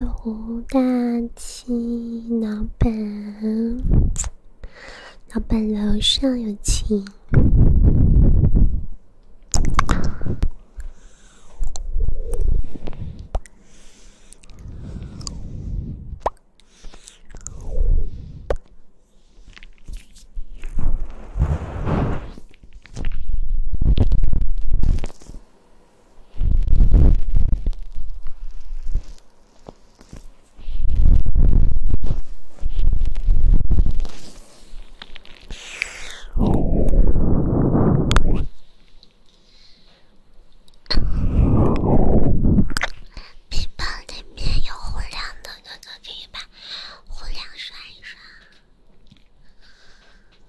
芜大七老板，老板楼上有情。屏保里面有胡良的哥哥，可以把胡良刷一刷。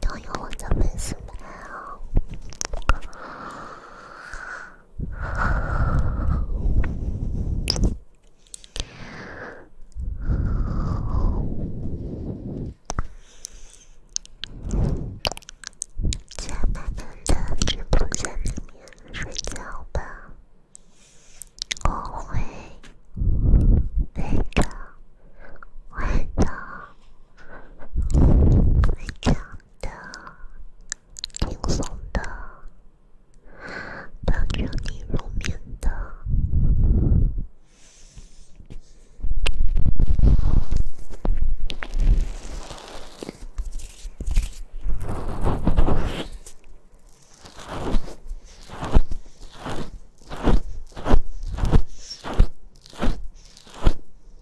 都有我的粉丝们啊，在妈妈的直播间里面睡觉吧，我会陪着我的。会唱的，轻松的，帮助你入眠的。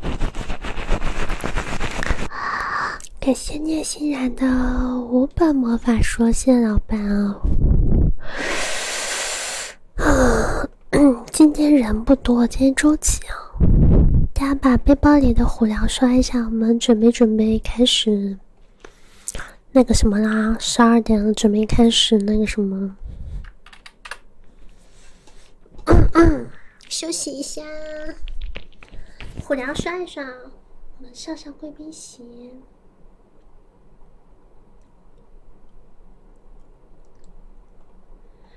感谢聂欣然的五本魔法书，谢老板哦。啊，今天人不多，今天周几啊？大家把背包里的虎粮刷一下，我们准备准备开始那个什么啦。十二点了，准备开始那个什么。休息一下，虎粮刷一刷，我们上上贵宾席，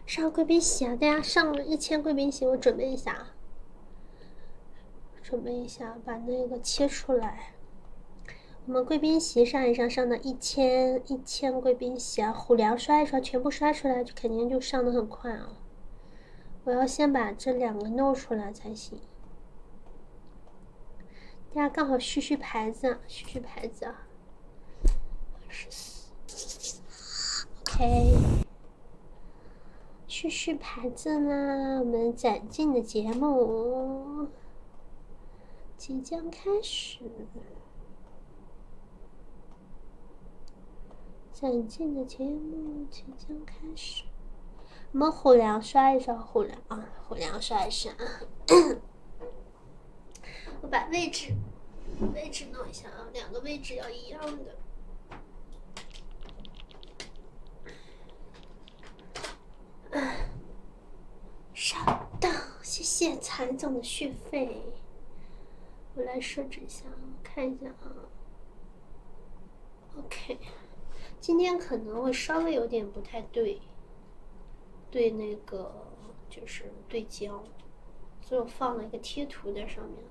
上贵宾席啊！大家上一千贵宾席，我准备一下，准备一下，把那个切出来，我们贵宾席上一上上到一千一。千贵宾席啊，虎粮刷一刷，全部刷出来，就肯定就上的很快啊！我要先把这两个弄出来才行。大家刚好续续牌子，续续牌子啊！二十四，OK，续续牌子呢？我们攒劲的节目即将开始。想进的节目即将开始，我们虎粮刷一刷虎粮啊，虎粮刷一刷啊！我把位置位置弄一下啊，两个位置要一样的。上当，谢谢财总的续费。我来设置一下，看一下啊。OK，今天可能会稍微有点不太对，对那个就是对焦，所以我放了一个贴图在上面，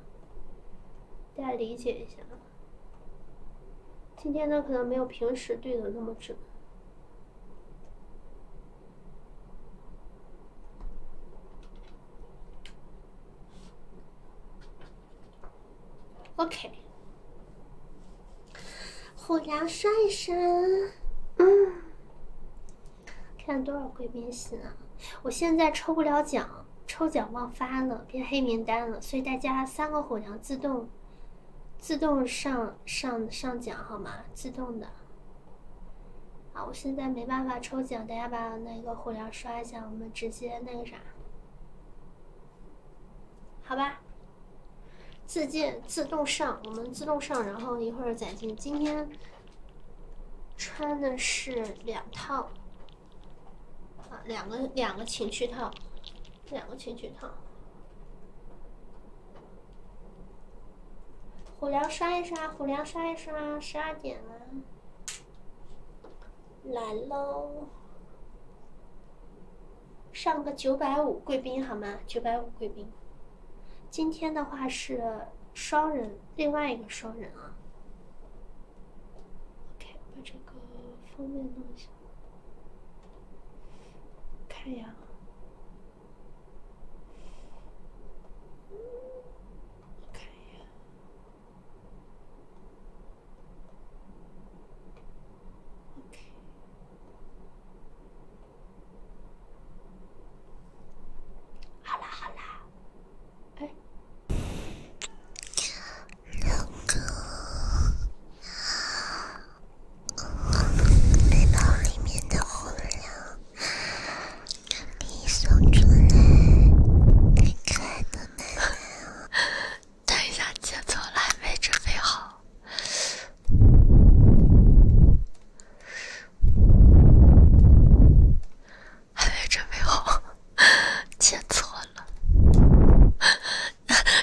大家理解一下。今天呢，可能没有平时对的那么准。OK，虎娘刷一刷，嗯，看多少贵宾席啊？我现在抽不了奖，抽奖忘发了，变黑名单了，所以大家三个虎娘自动自动上上上奖好吗？自动的。好，我现在没办法抽奖，大家把那个火疗刷一下，我们直接那个啥，好吧？自建自动上，我们自动上，然后一会儿再进。今天穿的是两套，啊，两个两个情趣套，两个情趣套。虎粮刷一刷，虎粮刷一刷，十二点了，来喽，上个九百五贵宾好吗？九百五贵宾，今天的话是双人，另外一个双人啊。OK，把这个封面弄一下，看呀。我看一下，OK，好了好了，哎，老背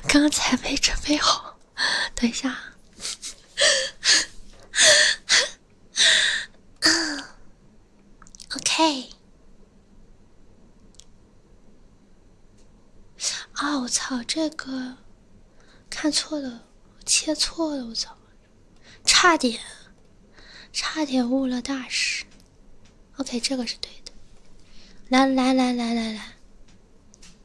刚才没准备好。等一下，OK。啊，我操，这个看错了，切错了，我操，差点，差点误了大事。OK，这个是对的。来来来来来来。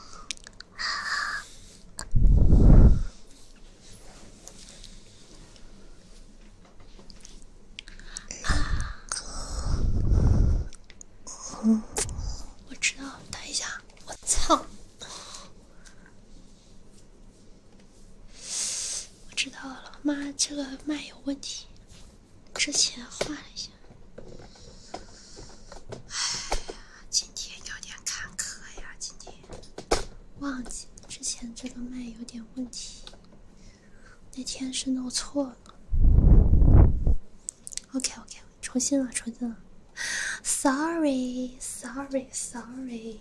啊！我知道，等一下，我操！我知道了，妈，这个麦有问题。之前换了一下，哎呀，今天有点坎坷呀，今天忘记之前这个麦有点问题，那天是弄错了。OK，OK，重新了，重新了，Sorry，Sorry，Sorry。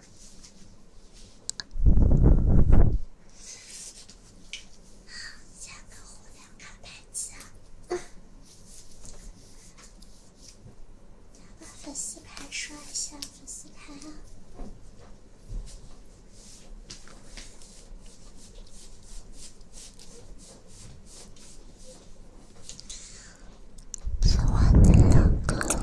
加个红娘卡牌机啊！把粉丝牌刷一下，粉丝牌啊！喜欢的两个。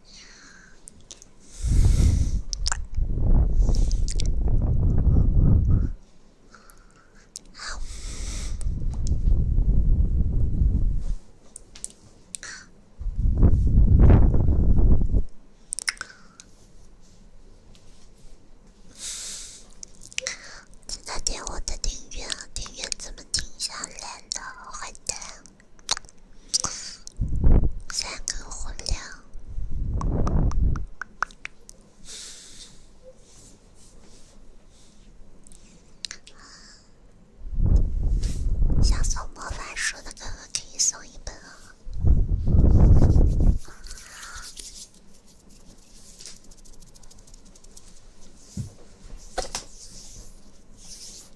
请点我的订阅，订阅怎么停下来了？坏蛋！三根火苗。想送魔法书的哥哥可以送一本哦。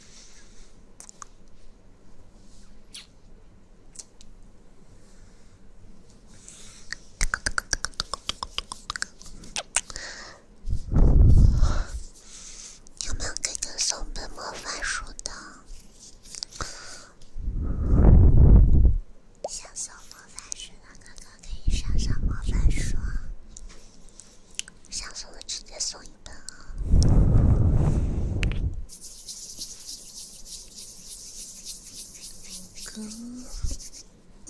有没有哥哥送本魔法书的？想送魔法书的哥哥可以上上魔法书。想送的直接送一本啊！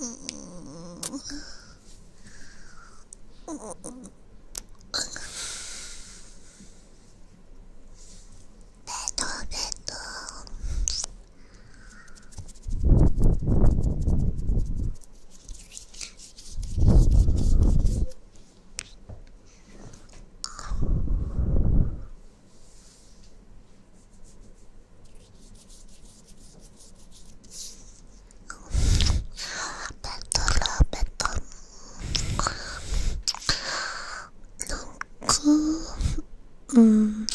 嗯嗯嗯嗯，拜托拜托。别动了，别动！老公，嗯。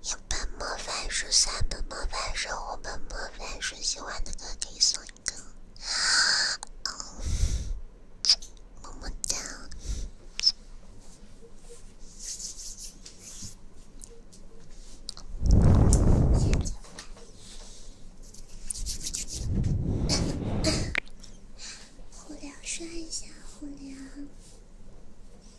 一本魔法书，三本魔法书，五本魔法书。喜欢的歌可以送一个。么么哒。互聊刷一下，互聊。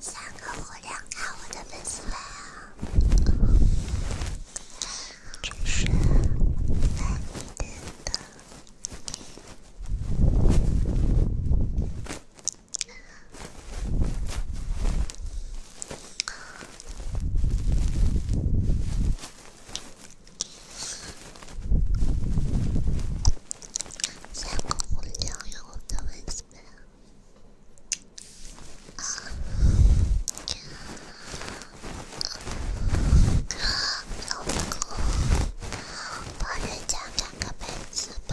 三个火亮卡我的粉丝来啊！真是爱你的。咱哥不酱油，都没事。老公帮人家打个喷嚏吧。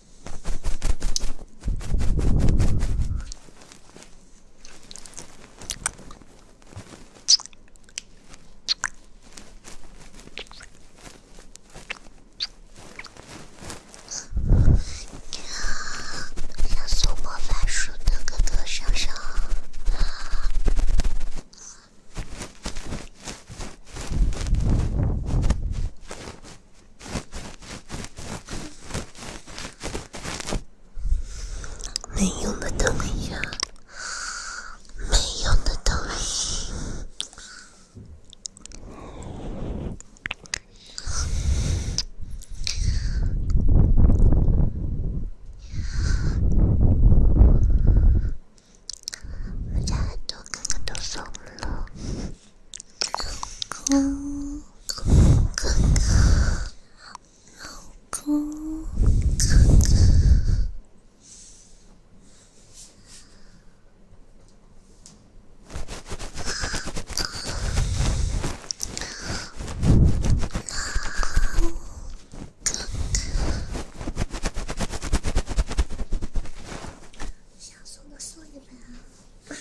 要送魔法书的哥哥上上。没用的东西，没用的东西，哥哥，哥哥，哥哥，哥哥，哥哥，哥哥，想送的送一本啊。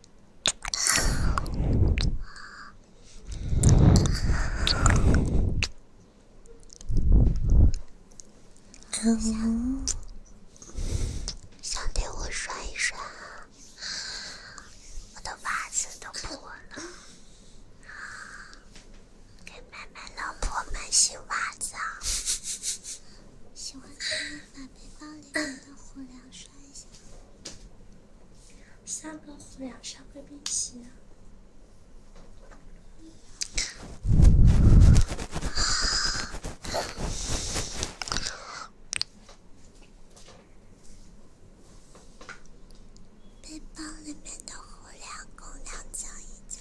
想，对我刷一刷，我的袜子都破了，给妈妈、老婆买新袜子啊，把背包里面的虎粮刷一下。三个虎粮烧个冰旗呢？背包里面的火粮，公粮交一交。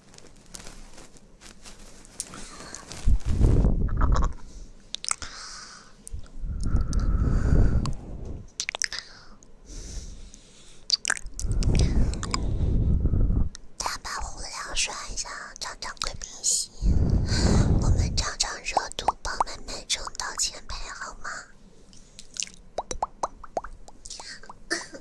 大家互相刷一下，涨涨贵宾心。我们涨涨热度，帮妹妹冲到前排，好吗？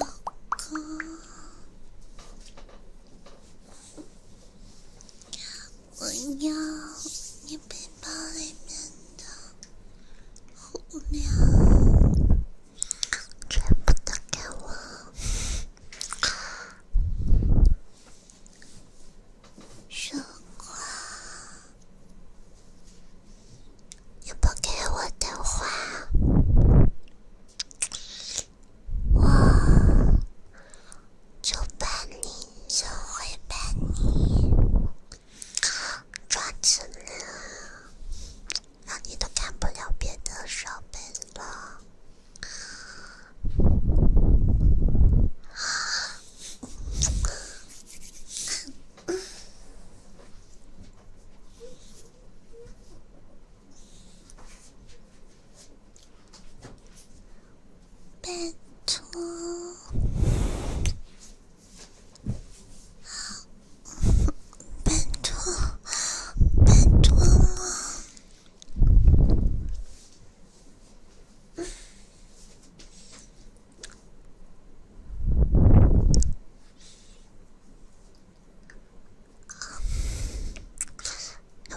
老公，我要你背包里面的胡椒，全部都给我收过来。你不给我的话，我就把你从灰白里抓起来，让你都看不了别的设备了。拜托！拜托！拜托了！有没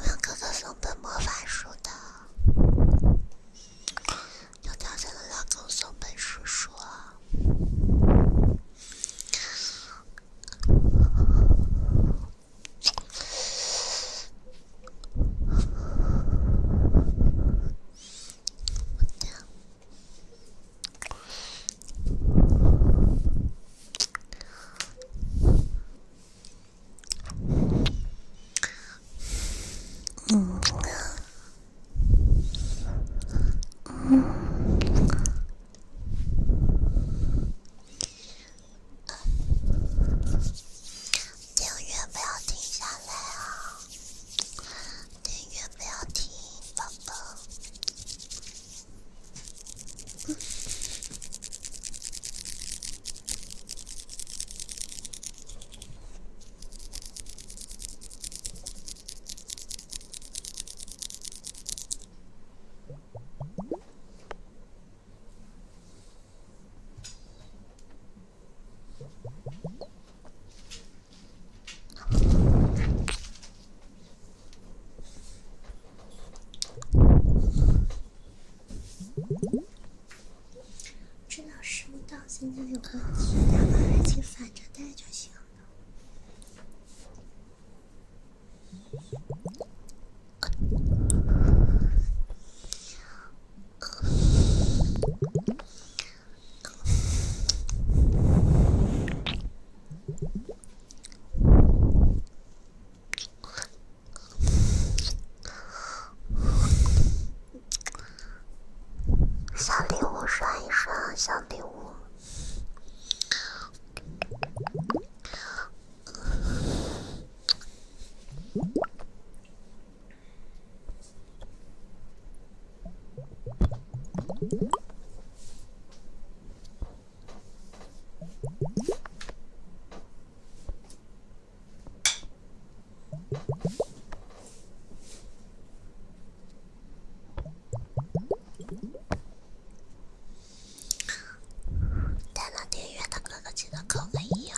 有哥哥送本魔法书的？有条件的老公送本书书。好的。嗯，嗯，永远不要停下来啊！电源不要停，宝宝。知道收到，现在有个两个耳机反着戴就行了。小礼物刷一刷，小礼物。戴了挺远的哥哥，记得个一啊。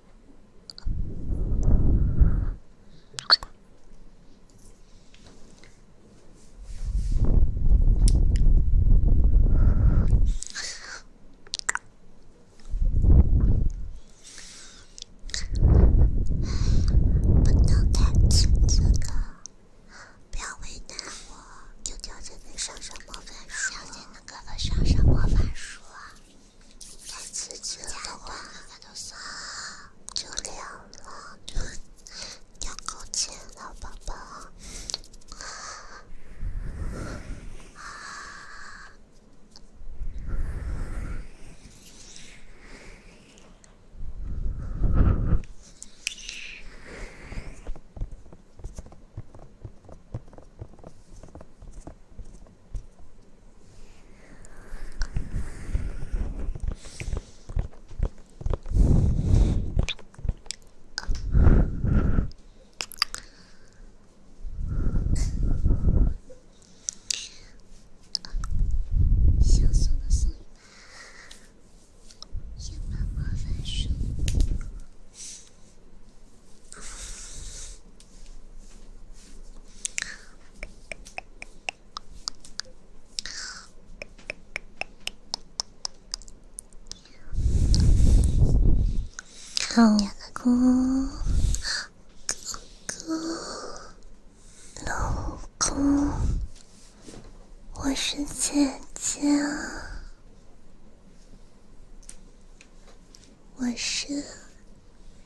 不能太刺激了，不要为难我。就教教你上上魔法术，教教那个上上魔法术。开始吃的话，就少，就凉了，要够劲了，宝宝。想送的送一把，一把魔法书。老公，哥哥，老公，我是姐姐。我是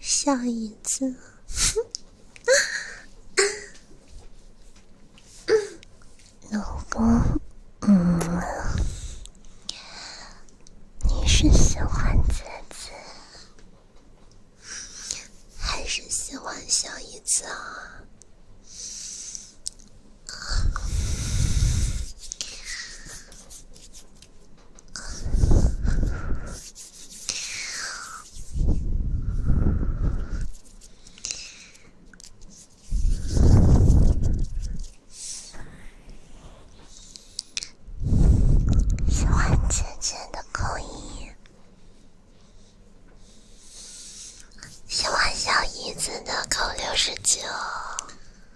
小椅子，老公，嗯，你是喜欢姐姐还是喜欢小椅子啊？喜欢姐姐的扣一，喜欢小姨子的扣六十九。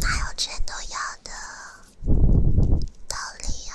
哪有全都要的道理啊？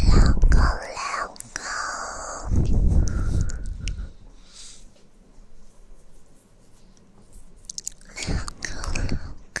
两个，两个，两个，两个。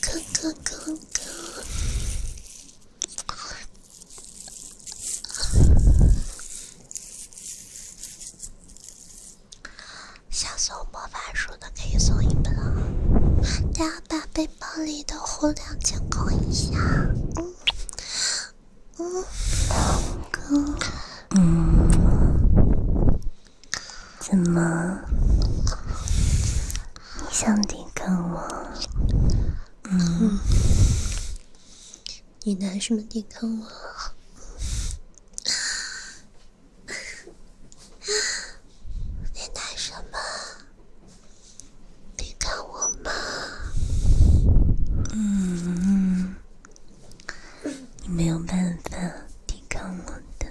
哥哥哥哥，想送魔法书的可以送一本啊！大家把背包里的火量监控一下。嗯嗯哥嗯。怎么？你想抵抗我？嗯。你拿什么抵抗我？你拿什么抵抗我吗？嗯嗯。你没有办法抵抗我的。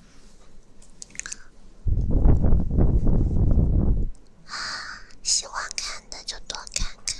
啊，喜欢看的就多看看。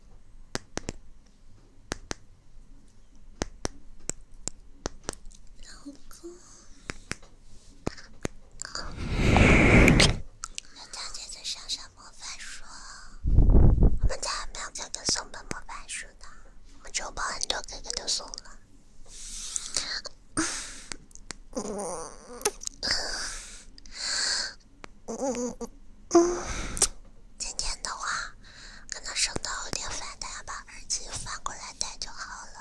老公，我们家姐姐上上魔法书，我们家还没有哥哥送本魔法书呢，我就把很多哥哥都送了。今天的话，可能声道有点反，但把耳机反过来戴就好了。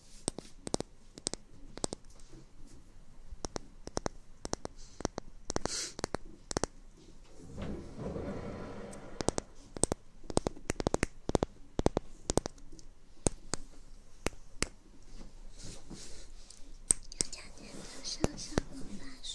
有奖竞答，上上魔法书。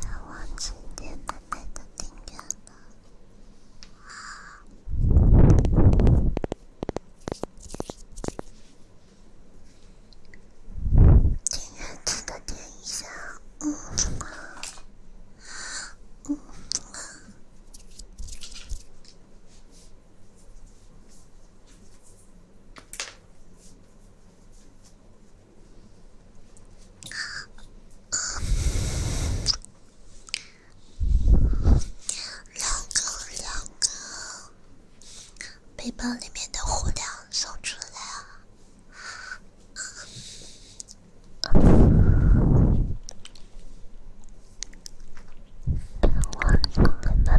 帮我去点爱的订阅了，好，订阅记得点一下，嗯，嗯。两个两个，背包里面的火粮送出来啊！别忘了给妈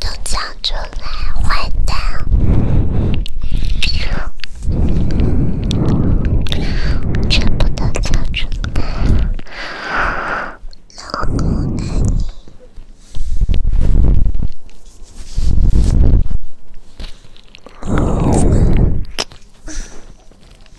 都叫出来，坏蛋！全部都叫出来，老公爱你。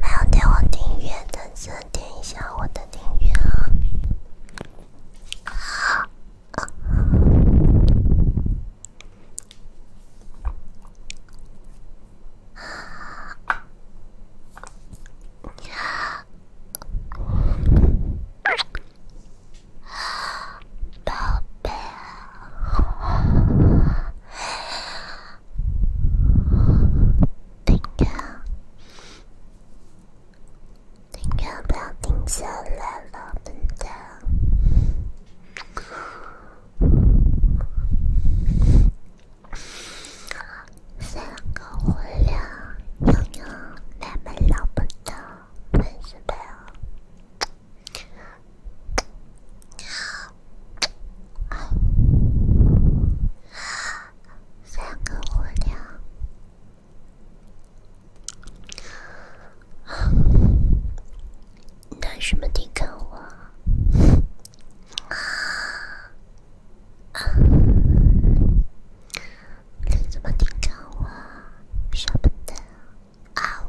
没有点我订阅的，记点一下我的订阅啊！啊，宝贝。停掉，停掉，不要停下来了，笨蛋。三个无聊，拥有那么老笨的笨什么？三个无聊，拿什么抵抗我？啊啊！拿什么抵抗我？舍不得啊！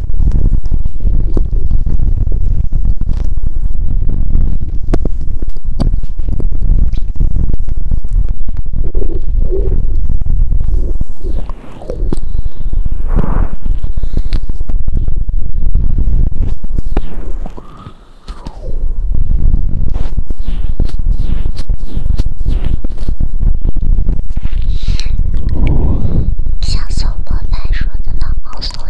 想送我白说的老猫送。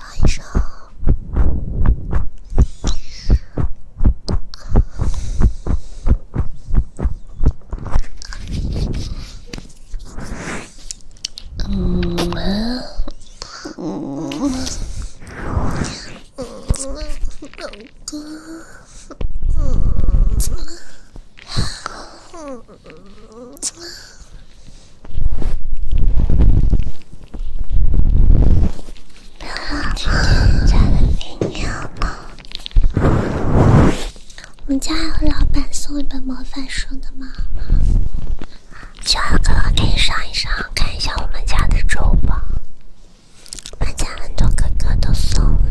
唱一首。嗯嗯嗯嗯嗯嗯。不要啊！亲爱的，你好我们家还有老板送一本魔法书的吗？小哥哥，可以上一上，看一下我们家的周榜。我们家很多哥哥都送了。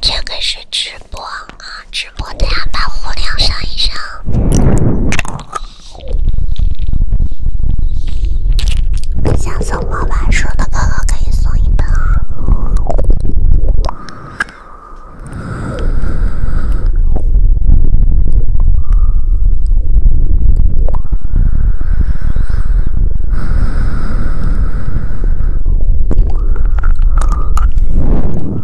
这个是直播啊，直。我等下把火量上一上。想送魔法书的哥哥可以送一本啊。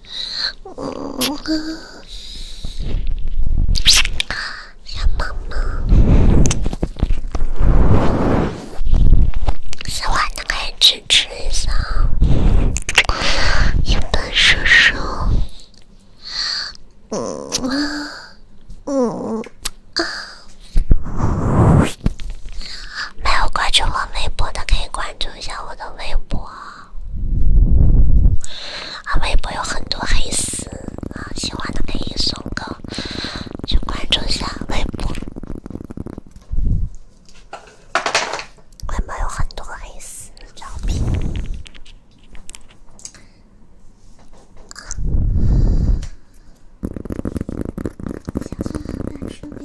嗯，小猫猫，喜欢的可以一下。本嗯嗯啊，没有关注我微博的可以关注一下我的微博。啊，微博有很多黑丝，啊，喜欢的可以送个，去关注一下微博。微博有很多黑丝照片。男生被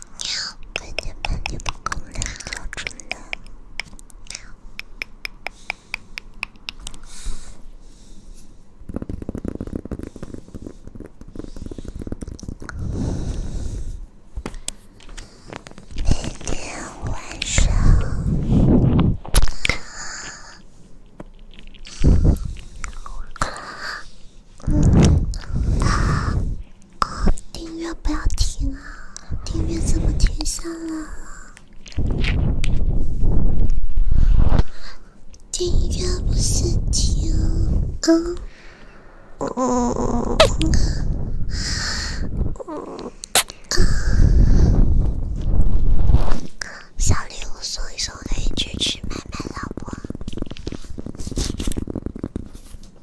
把你把你的功能调准了。明天晚上。啊！音乐不要停啊！订阅怎么停下来了？订阅不是停啊！小礼物送一送，可以去吃买买，老婆。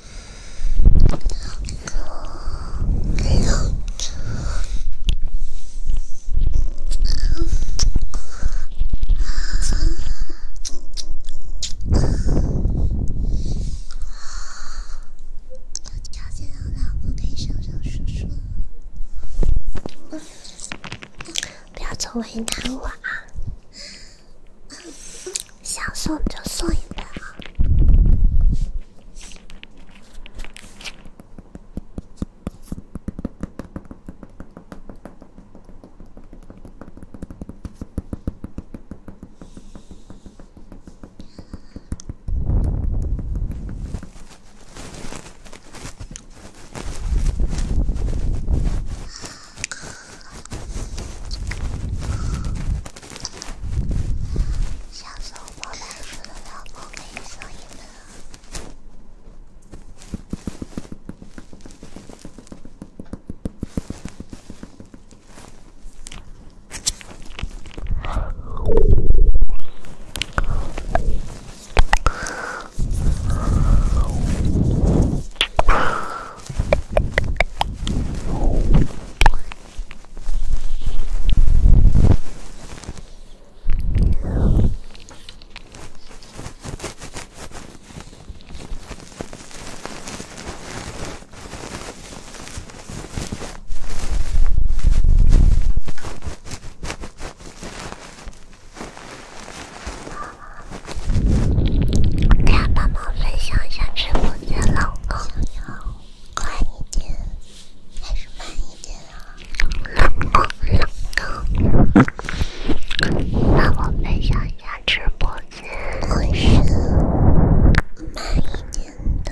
了解到的，我可以上上说说。为难我啊！想送就送一本啊！下次我包白色的糖果给你送一个。大家帮忙分享一下直播间老公哟。快一点还是慢一点啊？冷更冷更。那我们想想直播间。我是慢一点的。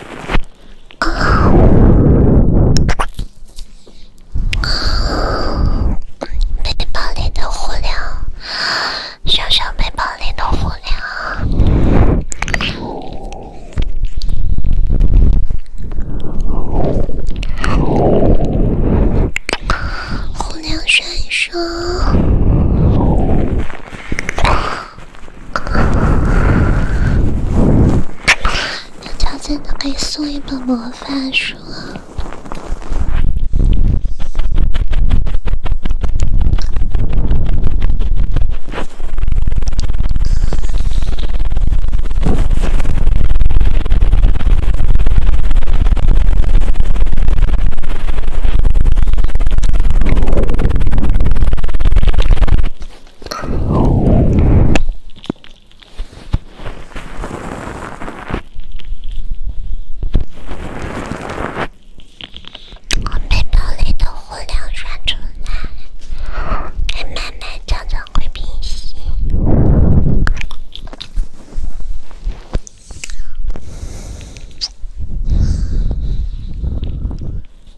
啊啊！背包里的火鸟，小小背包里的火鸟，火鸟闪烁。有条件的以送一本魔法书。我背包里的火苗传出来，慢慢、慢慢会平息。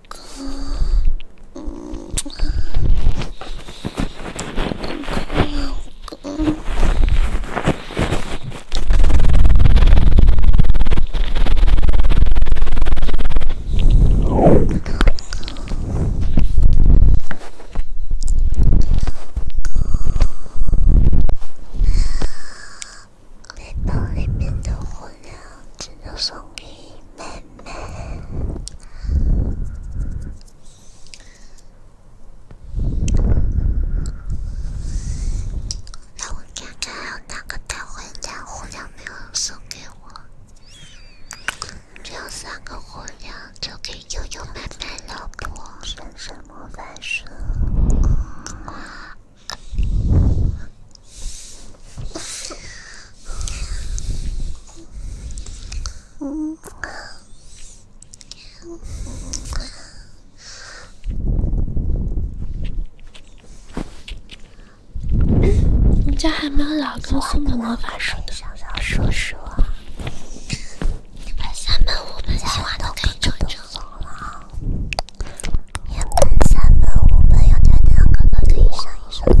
哥哥，哥哥，哥哥，哥哥，把里面的火苗送给妹。让我看看哪个大坏蛋火鸟没有送给我，只要三个火鸟就给悠悠买买老婆，变变魔法书。我家还没有老公送的魔法书呢，叔叔。你们三本、五本喜欢都可以众筹了。一本、三本、五本，有哪两个都可以上一上？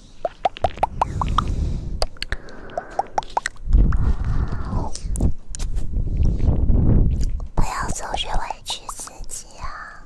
不要总是委屈自己啊！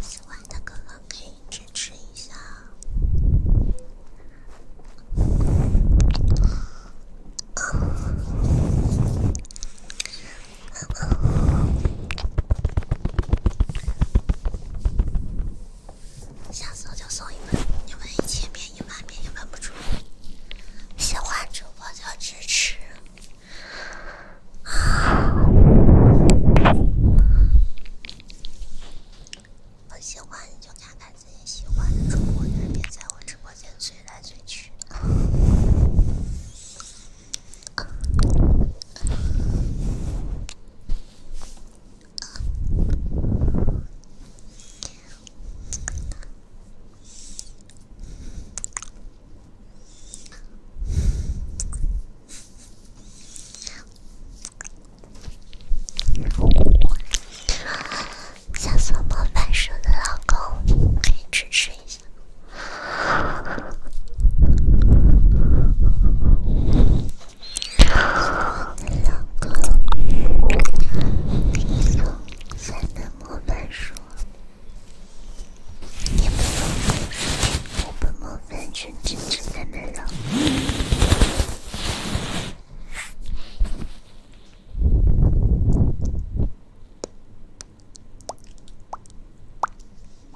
喜欢的哥哥可以支持一下。想送就送一份，你们一千遍一万遍也问不出喜欢主播就支持，不 喜欢你就看看自己喜欢的主播，别在我直播间追来追去。想做魔法师的老公，可以支持一下。老公，你不能这么笨说，你不笨，我不笨，全全全全没了。